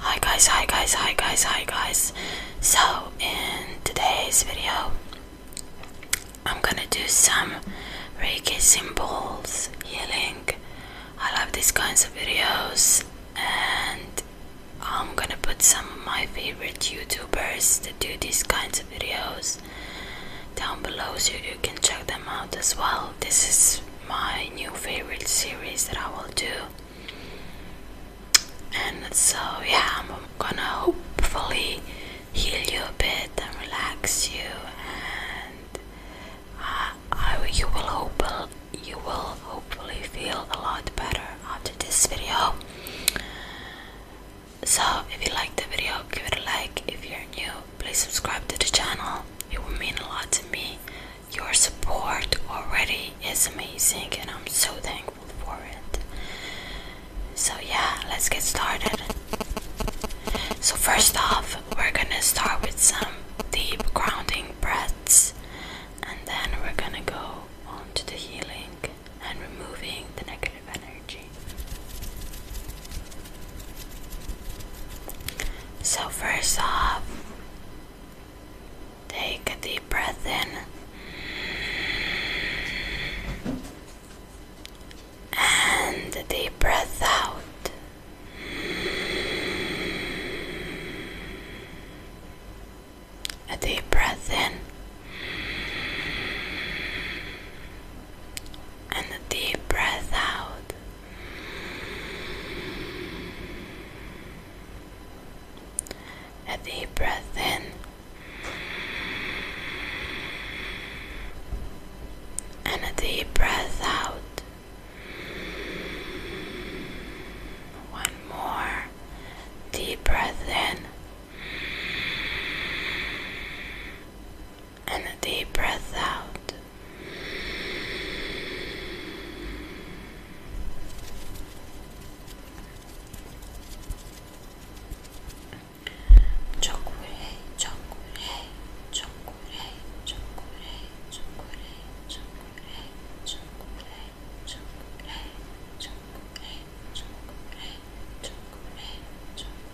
Hi guys, hi guys, hi guys, hi guys. So, in today's video, I'm gonna do some Reiki symbols healing. I love these kinds of videos, and I'm gonna put some of my favorite YouTubers that do these kinds of videos down below so you can check them out as well. This is my new favorite series that I will do. And so, yeah, I'm gonna hopefully heal you a bit and relax you, and uh, I, you will hope you will hopefully feel a lot better after this video. So, if you liked the video, give it a like. If you're new, please subscribe to the channel. It would mean a lot to me. Your support already is amazing and I'm so thankful for it. So yeah, let's get started. So first off, we're gonna start with some deep grounding breaths and then we're gonna go on to the healing and removing the negative energy. So, first off, take a deep breath in and a deep breath out. A deep breath in and a deep breath out. A deep breath in and a deep breath out. One more deep breath in and a deep breath out. Chokurei, chokurei, chokurei, chokurei, chokurei, chokurei, chokurei, chokurei, chokurei, chokurei, chokurei, chokurei.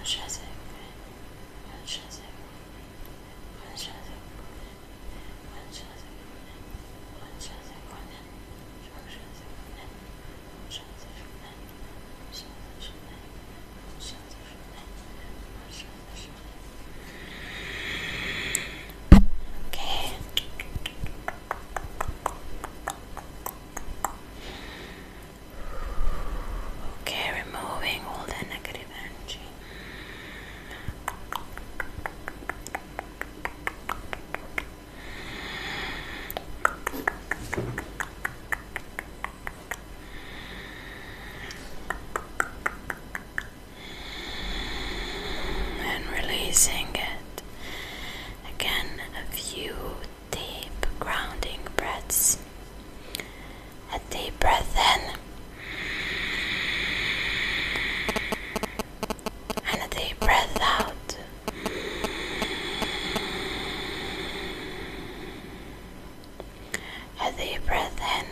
Much as I much as I much as I Okay. Okay, removing all the negative energy and releasing it again a few deep grounding breaths a deep breath in and a deep breath out. A deep breath in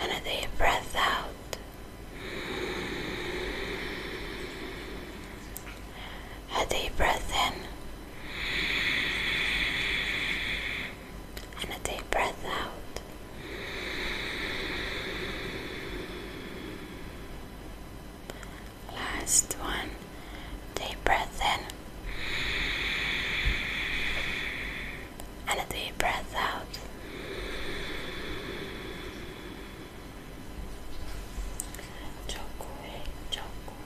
and a deep breath out a deep breath in and a deep breath out. Last one, deep breath in and a deep breath out. Chocolate, chocolate.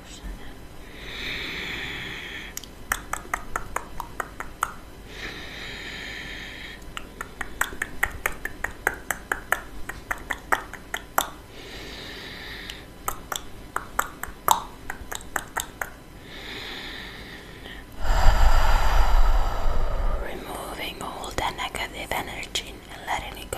Removing all the negative energy and letting it go.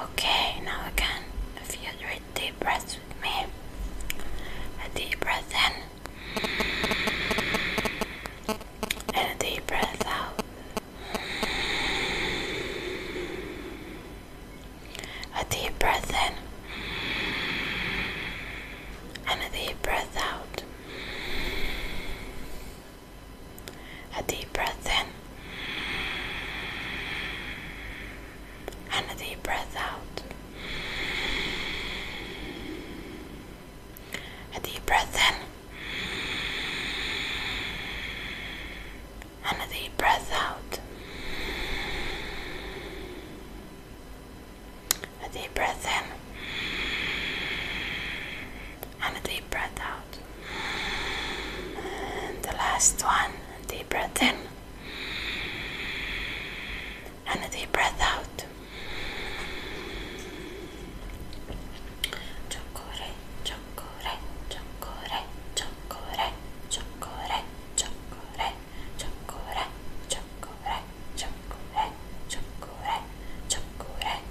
Okay, now again, if you read deep breaths with me, a deep breath in and a deep breath out, a deep breath in and a deep breath out. A deep breath in and a deep breath out. A deep breath in and a deep breath out. A deep breath in and a deep breath out. And the last one, deep breath in and a deep breath out. Chokore, chokore, chokore, chokore, chokore, chokore, chokore, chokore, chokore, chokore, chokore,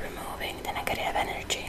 Removing the negative energy.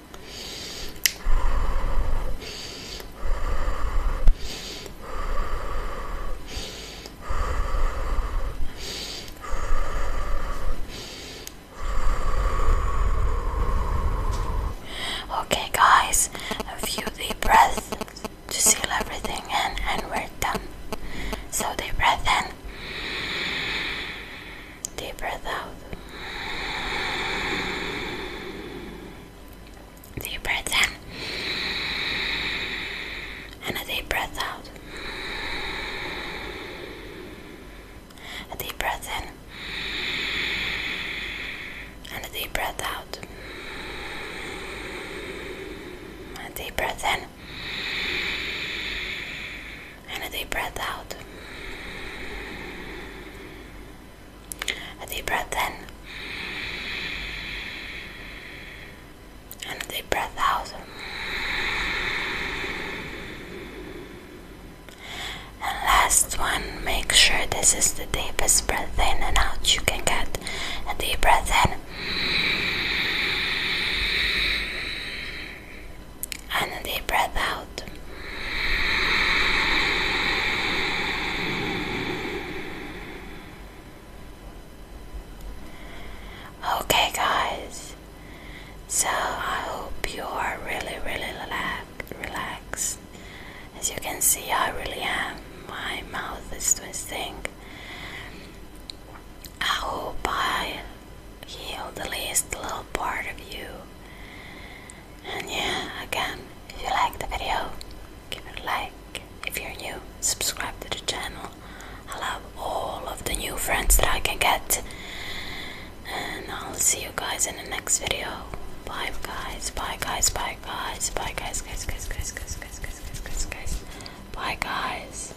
Okay, guys, a few deep breaths to seal everything in, and we're done. So, deep breath in. Deep breath out. Deep breath in. And a deep breath out. A deep breath in. And a deep breath out. A deep breath in. And a deep breath out. A deep breath in. And a deep breath out. And last one, make sure this is the deepest breath in and out you can get. A deep breath in and a deep breath out. Okay, guys, so I hope you are really, really relaxed. As you can see, I really am. My mouth is twisting. I hope I heal the least little part of you. And yeah, again, if you like the video, give it a like. If you're new, subscribe to the channel. I love all of the new friends that I can get. And I'll see you guys in the next video. Bye guys, bye guys, bye guys, bye guys, guys, guys, guys, guys, guys, guys, guys, guys, guys. Bye guys.